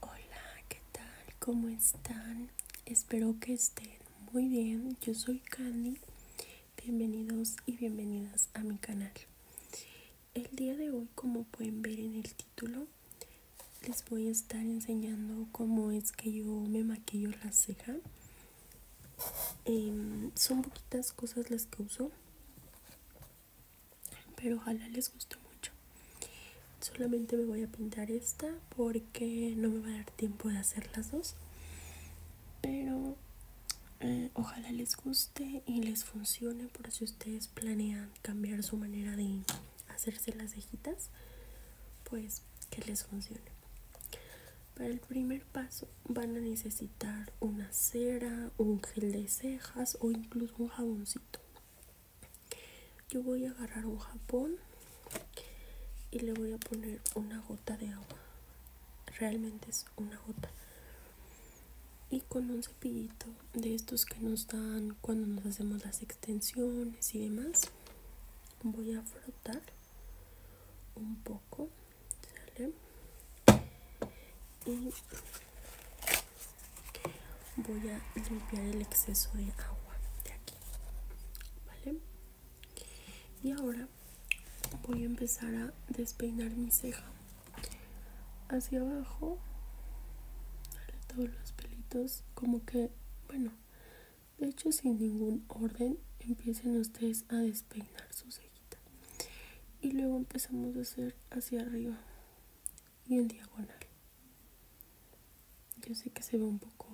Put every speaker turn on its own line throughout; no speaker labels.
Hola, ¿qué tal? ¿Cómo están? Espero que estén muy bien. Yo soy Candy. Bienvenidos y bienvenidas a mi canal. El día de hoy, como pueden ver en el título, les voy a estar enseñando cómo es que yo me maquillo la ceja. Em, son poquitas cosas las que uso pero ojalá les guste mucho solamente me voy a pintar esta porque no me va a dar tiempo de hacer las dos pero eh, ojalá les guste y les funcione por si ustedes planean cambiar su manera de hacerse las cejitas pues que les funcione para el primer paso van a necesitar una cera, un gel de cejas o incluso un jaboncito. Yo voy a agarrar un jabón y le voy a poner una gota de agua. Realmente es una gota. Y con un cepillito de estos que nos dan cuando nos hacemos las extensiones y demás, voy a frotar un poco y voy a limpiar el exceso de agua de aquí. ¿Vale? Y ahora voy a empezar a despeinar mi ceja hacia abajo. Todos los pelitos como que, bueno, de hecho sin ningún orden empiecen ustedes a despeinar su ceja y luego empezamos a hacer hacia arriba y en diagonal yo sé que se ve un poco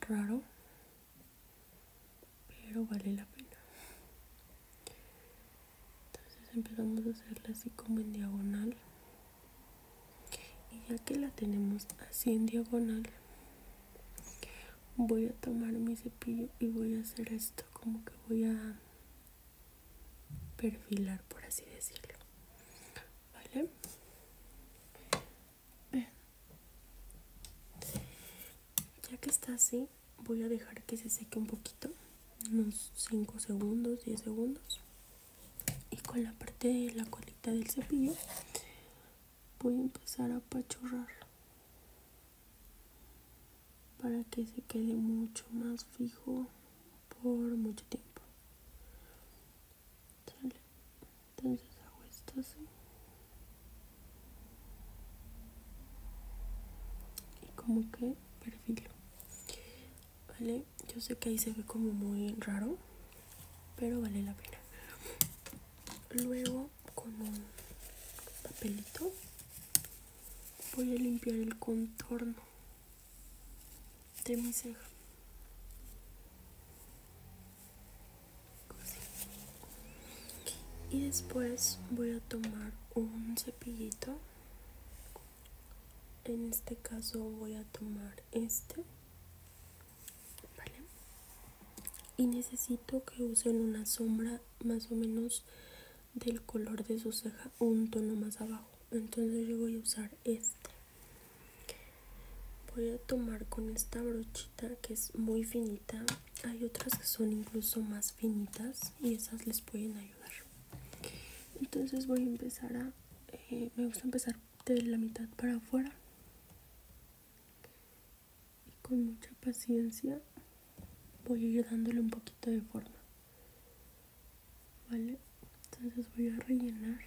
raro pero vale la pena entonces empezamos a hacerla así como en diagonal y ya que la tenemos así en diagonal voy a tomar mi cepillo y voy a hacer esto como que voy a perfilar por así decirlo vale ya que está así voy a dejar que se seque un poquito unos 5 segundos 10 segundos y con la parte de la colita del cepillo voy a empezar a apachurrar para que se quede mucho más fijo por mucho tiempo. Entonces hago esto así. Y como que perfilo. ¿Vale? Yo sé que ahí se ve como muy raro, pero vale la pena. Luego con un papelito voy a limpiar el contorno de mi ceja y después voy a tomar un cepillito en este caso voy a tomar este y necesito que usen una sombra más o menos del color de su ceja un tono más abajo. Entonces yo voy a usar este. Voy a tomar con esta brochita que es muy finita. Hay otras que son incluso más finitas y esas les pueden ayudar. Entonces voy a empezar a... Eh, me gusta empezar de la mitad para afuera y con mucha paciencia voy a ir dándole un poquito de forma vale entonces voy a rellenar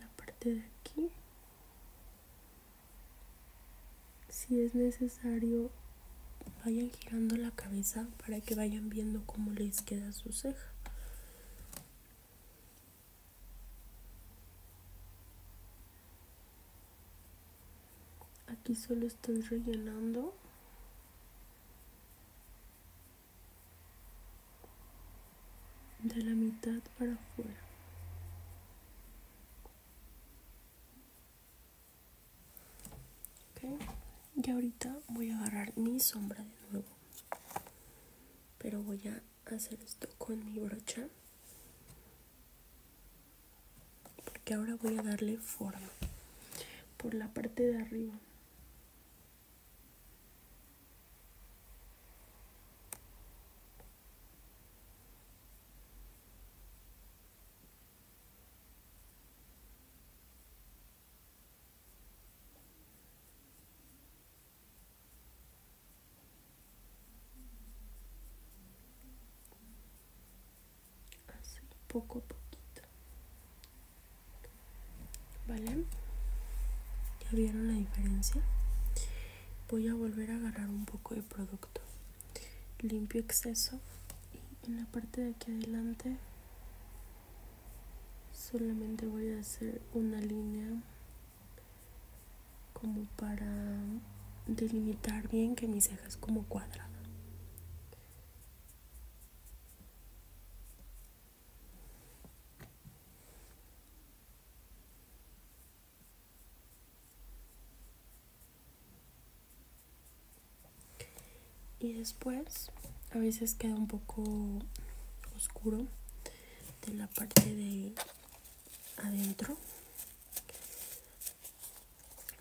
la parte de aquí si es necesario vayan girando la cabeza para que vayan viendo cómo les queda su ceja Aquí solo estoy rellenando. de la mitad para afuera. Y ahorita voy a agarrar mi sombra de nuevo pero voy a hacer esto con mi brocha porque ahora voy a darle forma por la parte de arriba así poco a poquito vale ya vieron la diferencia voy a volver a agarrar un poco de producto limpio exceso y en la parte de aquí adelante solamente voy a hacer una línea como para delimitar bien que mis cejas como cuadrada y después a veces queda un poco oscuro de la parte de adentro.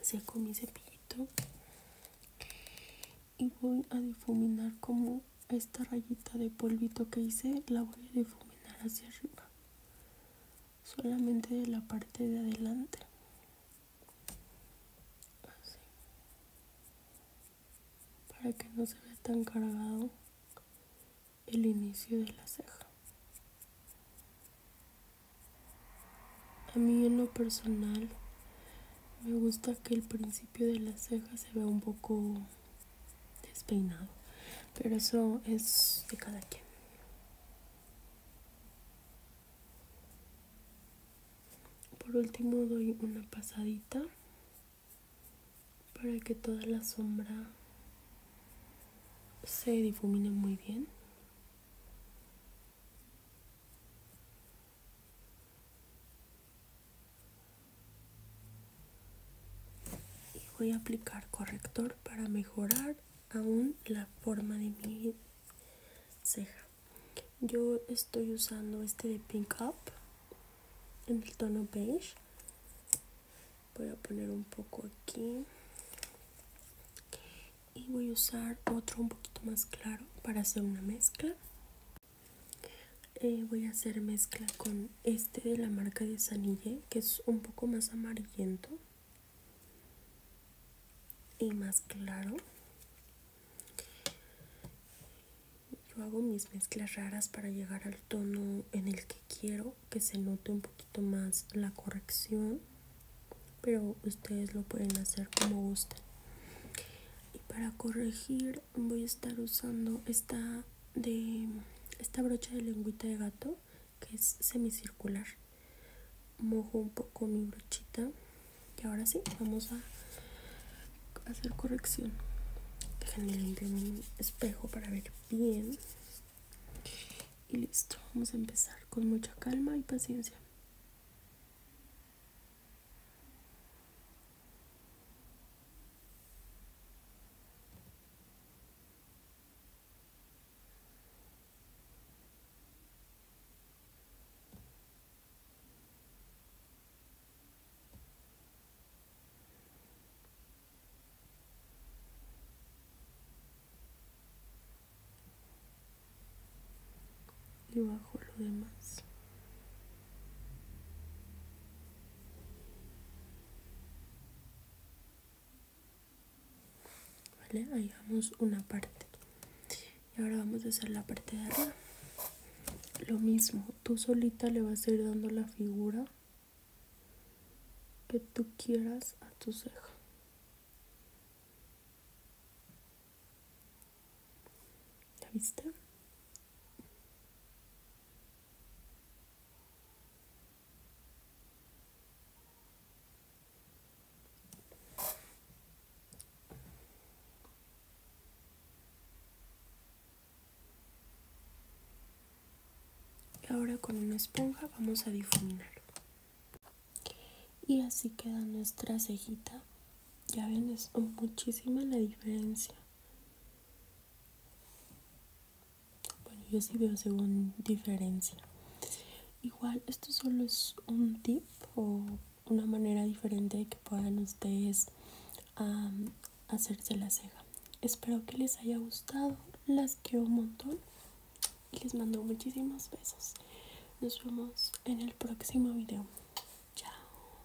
Seco mi cepillito y voy a difuminar como esta rayita de polvito que hice la voy a difuminar hacia arriba solamente de la parte de adelante para que no se vea tan cargado el inicio de la ceja a mí en lo personal me gusta que el principio de la ceja se vea un poco despeinado pero eso es de cada quien por último doy una pasadita para que toda la sombra se difumine muy bien. y voy a aplicar corrector para mejorar aún la forma de mi ceja yo estoy usando este de pink up en el tono beige voy a poner un poco aquí y voy a usar otro un poquito más claro para hacer una mezcla eh, voy a hacer mezcla con este de la marca de Sanille que es un poco más amarillento y más claro. Yo hago mis mezclas raras para llegar al tono en el que quiero que se note un poquito más la corrección, pero ustedes lo pueden hacer como gusten. Y para corregir voy a estar usando esta de esta brocha de lengüita de gato que es semicircular mojo un poco mi brochita y ahora sí vamos a hacer corrección déjenme en mi espejo para ver bien y listo vamos a empezar con mucha calma y paciencia y bajo lo demás. ¿Vale? Ahí vamos una parte. Y ahora vamos a hacer la parte de arriba. Lo mismo, tú solita le vas a ir dando la figura que tú quieras a tu ceja. ¿La viste? Y ahora con una esponja vamos a difuminar. Y así queda nuestra cejita. Ya ven, es muchísima la diferencia. Bueno, yo sí veo según diferencia. Igual, esto solo es un tip o una manera diferente de que puedan ustedes hacerse la ceja. Espero que les haya gustado. Las quiero un montón. Y les mando muchísimos besos. Nos vemos en el próximo video. Chao.